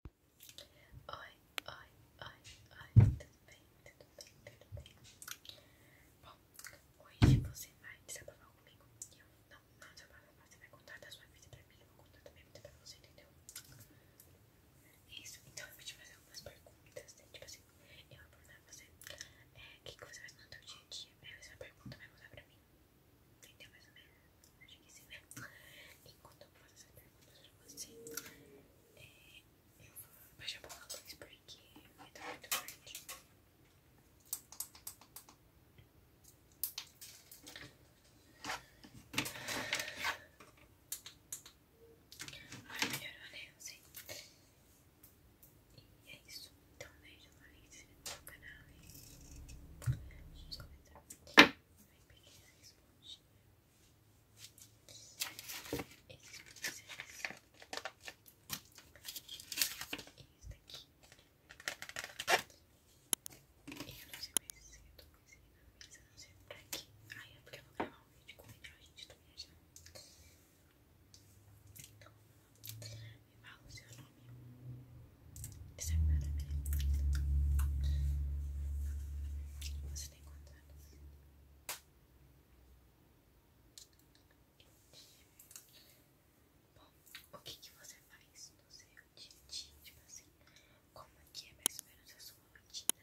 Oi, oi, oi, oi, tudo bem, tudo bem, tudo bem? Bom, hoje você vai desabafar comigo e não, não desabafar, você vai contar da sua vida pra mim eu vou contar também minha vida pra você, entendeu? Isso, então eu vou te fazer algumas perguntas, né? tipo assim, eu vou perguntar pra você é, o que, você faz no seu dia a dia, aí você vai perguntar, vai contar pra mim, entendeu mais ou Acho que sim, né? Enquanto eu vou fazer essa pergunta pra você, é, eu vou baixar um pouco a porque vai estar muito forte. Agora melhorou, né? Eu sei. E é isso. Então, beijo, like, se inscreva no canal e vamos começar vai pegar a esponjinha. Esses pincéis. Esse daqui. Eu não sei mais se eu tô com esse na não sei por aqui Ai, é porque eu vou gravar um vídeo com o a gente tá viajando. Então, me fala o seu nome. Isso é maravilhoso. Você tem quantos Bom, o que, você faz no seu dia a dia? Tipo assim, como é que é mais ou menos a sua rotina?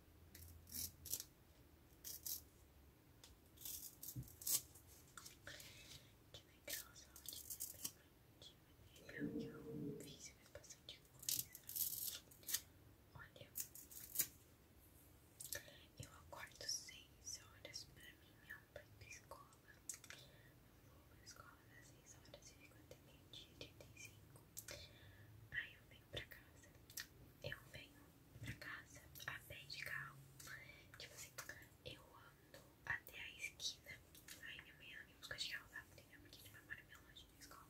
Que legal, saúde, né? Bem produtiva, Eu fiz bastante coisa. Olha, eu acordo seis horas pra mim, minha mãe pra escola seis horas e fico até meio-dia e cinco. Aí eu venho pra casa. Eu venho pra casa a pé de carro. Tipo assim, eu ando até a esquina. Aí minha mãe ela me busca de carro lá, porque minha mãe mora meio longe da escola.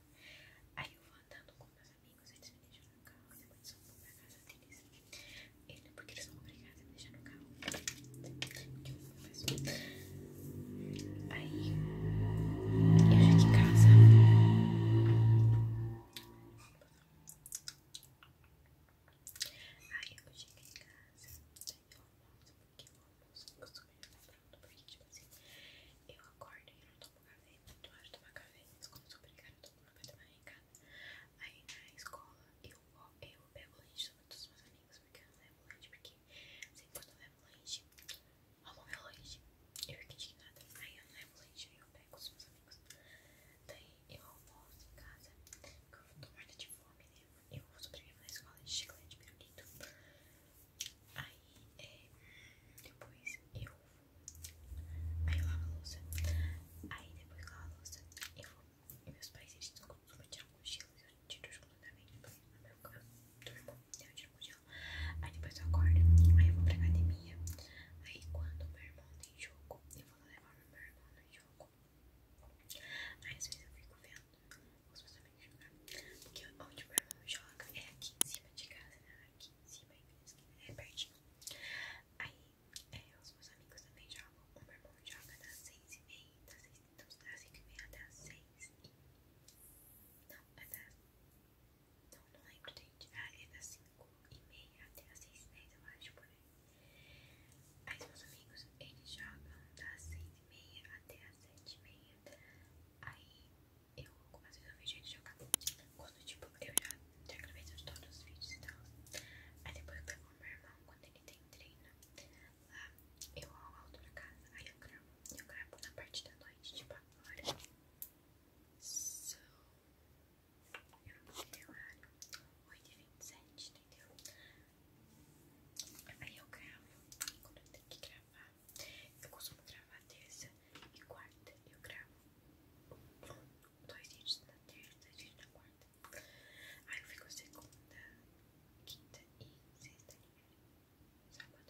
Aí eu vou andando com meus amigos, eles me deixam no carro, depois eu vou pra casa deles. Ele, porque eles são obrigados a me deixar no carro. Que eu Aí eu já em casa. Aí eu cheguei em casa, eu almoço, eu almoço, eu costumo jantar pronto, tipo assim, eu acordo e eu não tomo café, muito hora de tomar café, mas quando eu sou com eu tomo café da em casa. Aí na escola eu, eu pego leite, todos os meus amigos, porque eu levo leite, porque sempre eu levo leite, roubou meu leite. Eu fiquei indignada. Aí eu não levo leite, aí eu pego os meus amigos. Daí eu almoço em casa, porque eu tô morta de fome, né? Eu vou sobrevivo na escola de chiclete pirulito. Aí, é, depois eu Aí eu lavo a louça. Aí depois que eu lavo a louça, eu vou. Meus pais, eles não costumam tirar mochilas. Eu tiro completamente porque meu cabelo turbo, eu tiro o jogo Aí depois eu acordo, aí eu vou pra academia. Aí quando o meu irmão tem tá jogo, eu vou levar o meu irmão no jogo. Aí às vezes eu fico vendo os meus amigos jogar. Porque onde o meu irmão joga é aqui em cima de casa, né? Aqui em cima, é pertinho. Aí é, os meus amigos também jogam. O meu irmão joga das seis e meia das 6h30. Então tá assim é ah, é das 5 e meia até as 6 Não, é das... Não, não lembro, gente Ah, é das 5 e meia até as 6 e 10, eu acho, por aí Aí meus amigos, eles jogam das 6 e meia até as 7 e meia Aí eu, às vezes eu vejo eles jogar Quando, tipo, eu já, já gravei todos os vídeos e tal Aí depois eu pego o meu irmão quando ele tem treino lá, eu amo a outra casa, aí eu gravo, eu gravo na parte da noite, tipo agora. So, eu não sei o horário, 8h27, entendeu? Aí eu gravo, quando eu tenho que gravar, eu costumo gravar terça e quarta, eu gravo dois dias na terça, dois dias na quarta. Aí eu fico segunda, quinta e sexta Sábado e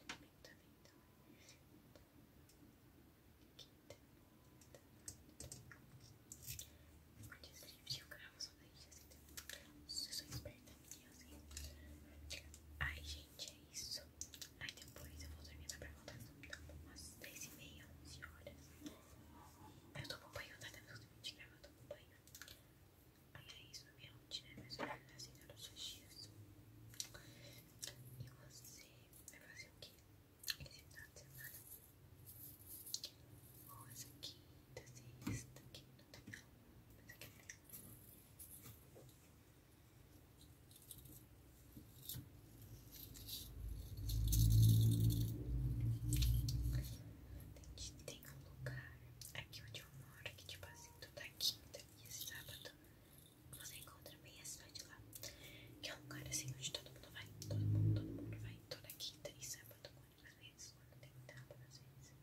domingo também, então. Quinta, Curte esse vídeo, eu só pra gente assim. Se eu Ai, gente, é isso. ai depois eu vou dormir na pergunta, então, umas 10 e meia, 11 horas. Eu tô acompanhando, tá? Eu tô me gravando, acompanho. É isso na minha rotina, é mais ou menos assim né? todos os dias. E você vai fazer o que? Esse final de semana? Ou essa quinta, sexta, quinta, não tá é tem não. Essa quinta não. Tem, tem um lugar aqui onde uma hora que tipo assim, toda é quinta e é sábado você encontra bem a cidade lá. Que é um lugar assim onde todo mundo vai, todo mundo, todo mundo vai, toda quinta e sábado, quando às vezes, quando tem tábua, às vezes,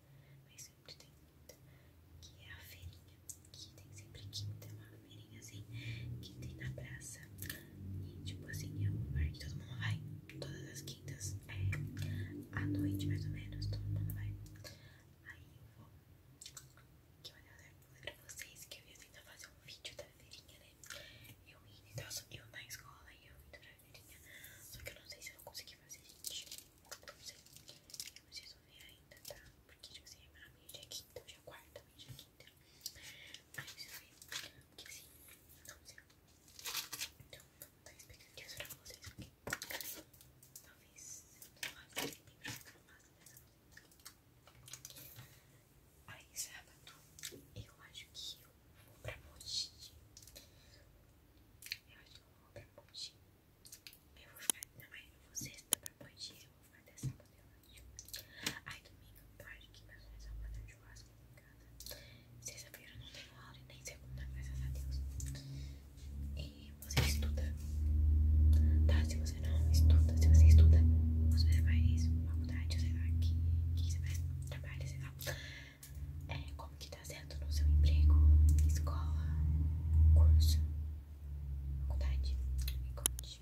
mas sempre tem quinta, que é a feirinha, que tem sempre quinta, é uma feirinha assim, que tem na praça. E tipo assim, é um lugar que todo mundo vai, todas as é à noite, mais ou menos, todo mundo vai. Aí eu vou. Que eu falei pra vocês que eu ia tentar fazer um vídeo da feirinha, né? Eu indo então, e na escola e eu indo pra feirinha. Só que eu não sei se eu vou conseguir fazer, gente. Não sei. Eu preciso ver ainda, tá? Porque, tipo assim, a minha é quinta, hoje é quarta, hoje é quinta. Aí eu preciso ver. Porque assim, não sei. Então, não tá expectativas pra vocês aqui. Talvez Aí, sábado, eu acho que eu vou pra Mogi. Eu acho que eu vou pra Mogi. Eu vou ficar, também mas eu vou sexta pra Mogi, eu vou ficar dessa sábado, eu Aí, domingo, eu acho que meus pais vão fazer um churrasco madrugada. Sexta-feira não tenho aula e nem segunda, graças a Deus. E você estuda, tá? Se você não estuda, se você estuda, você faz faculdade, sei lá, que, que você faz trabalho, sei lá. É, como que tá sendo no seu emprego, escola, curso, faculdade? Me conte.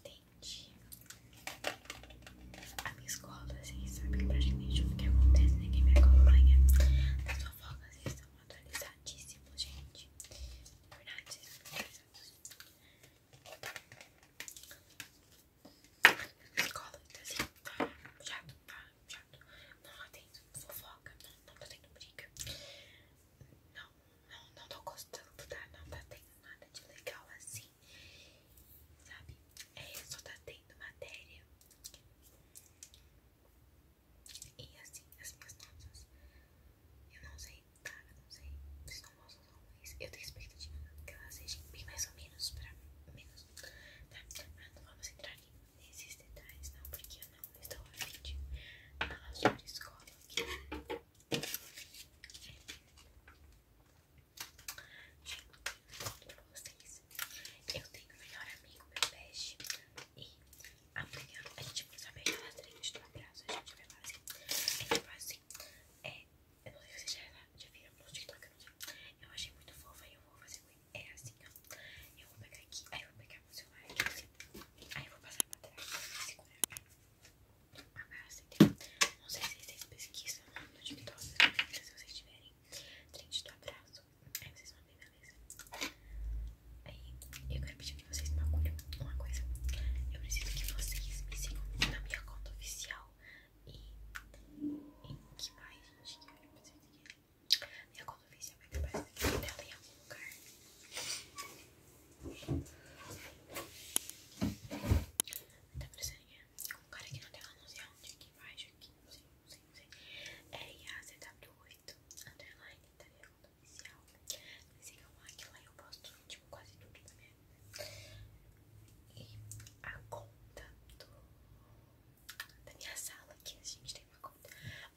Entendi. A minha escola, vocês assim, sabem praticamente o que acontece, ninguém né, me acompanha. As fofocas estão atualizadíssimas, gente. Na verdade, vocês Cola, tá assim, tá chato, tá chato. Não tendo fofoca, não, não tá tendo briga. Não, não, não tô gostando, tá? Não tá tendo nada de legal assim, sabe? É, só tá tendo matéria. E assim, as minhas notas, eu não sei Tá, eu não sei. Vocês não gostam não, mas eu tenho expectativa que ela seja bem mais ou menos pra menos. Tá, mas não vamos entrar nesses detalhes não, porque eu não estou afim de falar sobre escola aqui. Gente, eu tenho um melhor amigo, meu best, e Amanhã a gente vai saber que ela do abraço. A gente vai fazer A gente vai fazer É, eu não sei se vocês já, já viram no TikTok, eu não sei. Eu achei muito fofa aí eu vou fazer com É assim, ó. Eu vou pegar aqui, aí eu vou pegar o celular aqui assim. Aí eu vou passar pra trás pra segurar. Abraço, entendeu? Não sei se vocês pesquisam no TikTok, se vocês tiverem. Trente do abraço. Aí vocês vão ver, beleza? Aí, eu quero pedir pra vocês uma, agulha, uma coisa. Eu preciso que vocês me sigam na minha conta oficial. E em que mais, gente? Minha conta oficial vai é ter aparecido aqui dela em algum lugar. Tá aparecendo com é um cara aqui na tela, não sei aonde, aqui embaixo, aqui, não sei, não sei, não sei. É IAZW8 underline, entendeu? Tá ajuda Me sigam lá, que lá eu posto tipo, quase tudo da minha vida. E a conta da minha sala, que a gente tem uma conta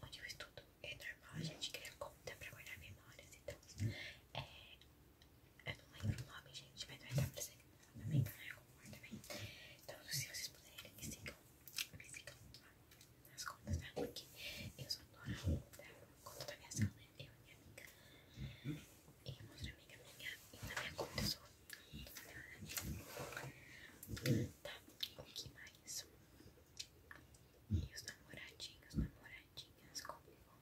onde eu estudo, é normal a gente cria conta pra guardar memórias então, É, eu não lembro o nome, gente, mas vai dar pra vocês também, Então, se vocês puderem, me sigam, me sigam nas contas, tá? Porque eu sou dona da conta da minha sala, eu e minha amiga. E uma outra amiga minha, e na minha conta eu sou. Tá, o que mais? E os namoradinhos, namoradinhas comigo.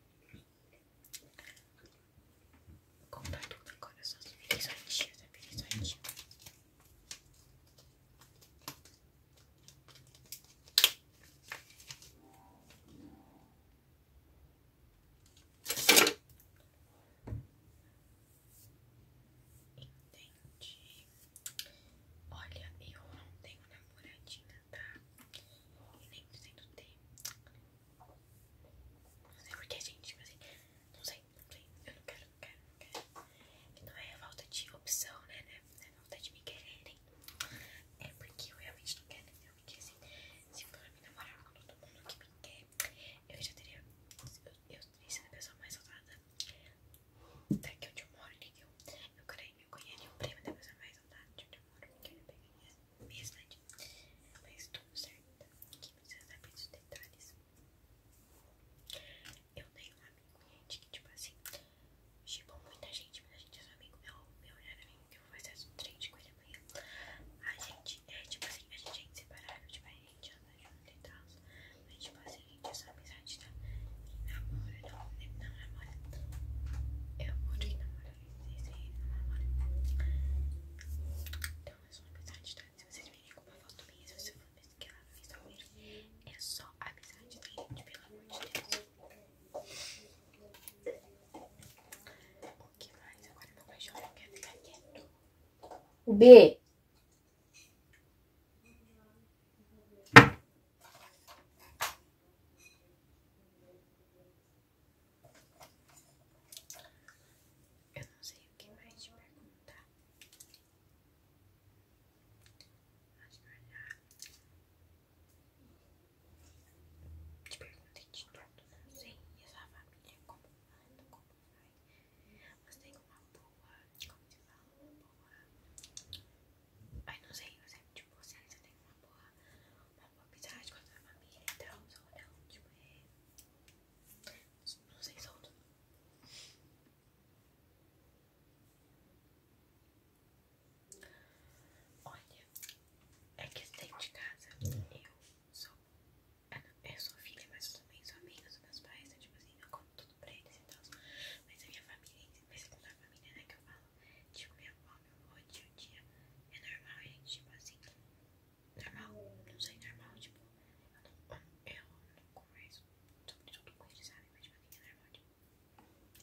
Conta tudo agora, eu só virei sua tia, só Entendi. Olha, eu não tenho namoradinha, tá? nem sendo ter. Não sei porque, gente, mas assim, não sei, não sei. Eu não quero não é a falta de opção, né, né? Não é a falta de me quererem. É porque eu realmente não quero, entendeu? Porque assim, se for me namorar com todo mundo que me quer, eu já teria. Eu, eu teria sido a pessoa mais saudável daqui onde eu moro, entendeu? Eu creio que me conhecer o prêmio da pessoa mais saudável de onde eu moro, porque eu pegaria minha cidade. Mas tudo certo. Aqui precisa saber dos detalhes. Eu tenho um amigo, gente, que tipo assim, tipo muita gente, muita gente é seu amigo, meu, meu melhor amigo, que eu vou fazer um trade com ele amanhã. A gente é tipo assim, a gente é inseparável, tipo, a gente anda junto e tal. Mas tipo assim, a gente é só amizade, tá? E namora, não, né, não namora. Eu moro e namoro, esse aí não namora. Então é só amizade, tá? Se vocês virem com uma foto minha, se você for que ela fez a vez, é só a amizade da gente, pelo amor de Deus. O que mais? Agora meu cachorro não quer ficar quieto. O B. Eu não sei o que mais te perguntar. Acho que eu já te perguntei de tudo, não sei. E a sua família, como anda, como vai? Você tem uma boa, como se fala, uma boa. Ai, não sei, eu sempre, tipo, você tem uma boa, uma boa amizade com a sua família e tal, ou não, tipo, é. Não sei, solto. Olha, é que dentro de casa é. eu sou. É, eu sou filha, mas eu também sou amiga dos meus pais. Né? Tipo assim, eu conto tudo pra eles Mas a minha família, minha segunda família, né? Que eu falo, tipo, minha avó, meu avô, tio, dia É normal, gente. É, tipo assim, normal, não sei, normal. Tipo, eu não, eu gosto sobre tudo com ele, sabe? Mas de maneira normal.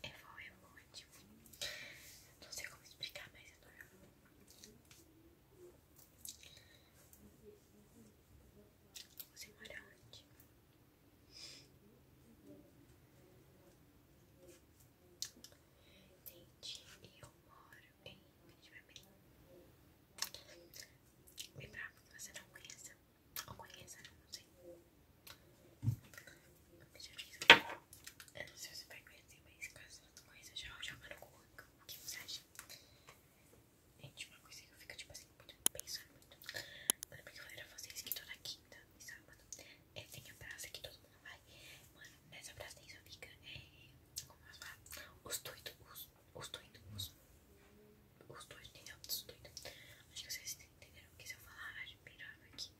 É bom, é bom, é tipo. Não sei como explicar, mas é normal. Você mora onde? Entendi. Eu moro em muito bebê. Bem bravo que você não conheça. não conheça, não sei. eu não sei se você vai conhecer, mas caso não conheça, já joga no Google. O que você acha? Gente, uma coisa que eu fico, tipo assim, muito pensando muito. Mano, porque eu falei pra vocês que toda quinta e sábado é, tem a praça que todo mundo vai. Mano, nessa praça tem só fica, como eu falar, os doidos, os os dois, os, os dois entendeu? Os dois. Acho que vocês entenderam que se eu falar admirando aqui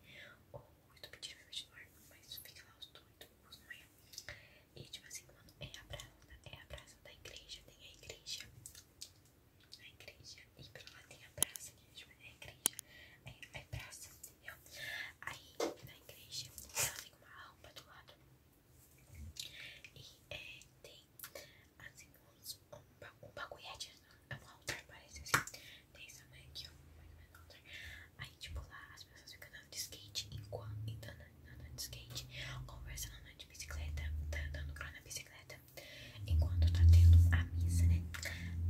ou muito pedindo meu dormir mas fica lá os dois, não é? E tipo assim, mano, é a praça, é a praça da igreja, tem a igreja, a igreja, e pelo lado tem a praça, é a igreja, é, é praça, entendeu? Aí na igreja ela tem uma rampa do lado. E é, tem assim uns, um, um bagulhete, é um altar, parece assim. Tem essa mãe aqui, ó, mais ou menos Aí, tipo, lá as pessoas ficam andando de skate, enquanto então, andando de skate, conversando andando de bicicleta, andando cro na bicicleta, enquanto tá tendo a missa, né?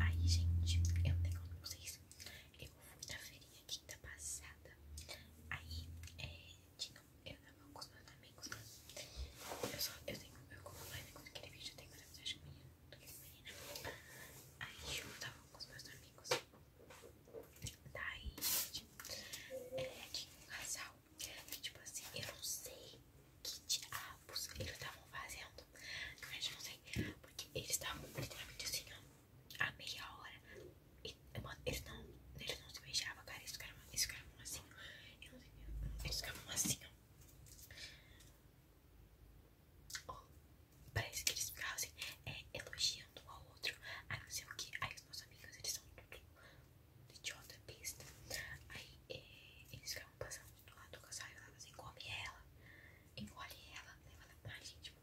Aí, gente, eu nem conto pra vocês. Eu fui da feirinha quinta passada. Aí, é, tinha um eu na com os meus amigos. Eu só, eu tenho, meu como live com aquele vídeo, eu tenho mais amizade com minha do que menina. Aí eu tava com os meus amigos. Daí, tá é, tinha um casal que, tipo assim, eu não sei que diabos eles estavam fazendo. mas eu não sei, porque eles estavam literalmente assim, ó a meia hora. eles não, eles não se beijavam, cara. Eles ficavam, eles ficavam assim. Eu não sei, eles ficavam assim, ó. parece que eles ficavam assim, é, elogiando um ao outro. Aí que. Aí os meus amigos, eles são tudo idiota, pista Aí é, eles ficavam passando do lado do casal e falavam assim: come ela, engole ela, leva ela pra gente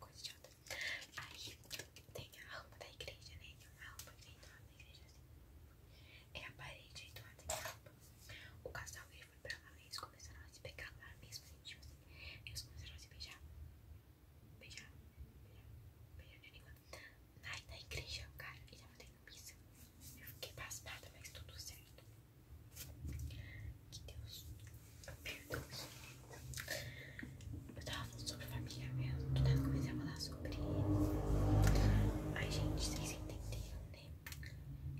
coisa idiota. Aí tem a alma da igreja, né? Uma alma que tem entrada da igreja assim. É a parede entrada tem a alma. O casal veio foi pra lá e eles começaram a se pegar lá mesmo, assim, tipo assim. Eles começaram a se beijar. Beijar, beijar, beijar na língua. Na igreja, cara, ele tava tendo piso Eu fiquei pasmada, mas tudo certo. Que Deus eu tava falando sobre família mesmo, do nada comecei a falar sobre. isso. Ai, gente, vocês entenderam, né?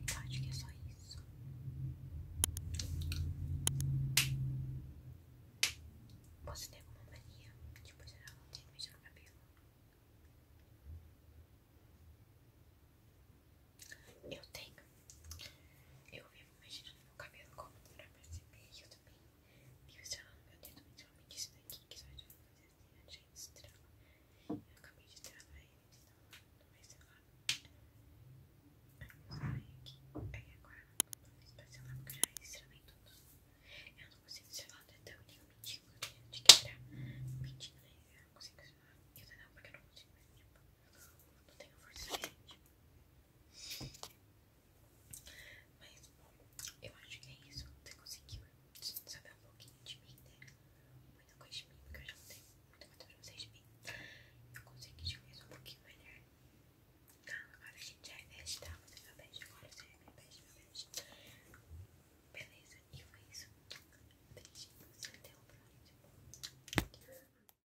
Eu acho que é só isso. Posso ter alguma mania Tipo se eu posicionar um tênis no cabelo? Eu tenho. Eu vivo Imagina meu cabelo como dura pra se eu também vi estralando meu dedo. Então eu me disse daqui que só de fazer assim, a né? gente estrala. Eu acabei de estralar ele, então não vai estralar. Aí eu aqui. Aí agora não fiz pra estralar porque eu já estralei tudo. Eu não consigo estralar o né? dedão e eu menti porque eu tinha que quebrar. Menti, né? Eu não consigo estralar o dedão porque eu não consigo mais. Tipo, não tenho força suficiente. Aí mas, bom, eu acho que é isso. Você conseguiu saber um pouquinho de mim, né? Muita coisa de mim, porque eu já tenho muito mais coisa pra vocês de mim. Eu consegui te conhecer um pouquinho melhor. Tá, agora a gente já é best, tá? Você é meu best, agora você é meu best, meu best. Beleza, e foi isso. você até o próximo.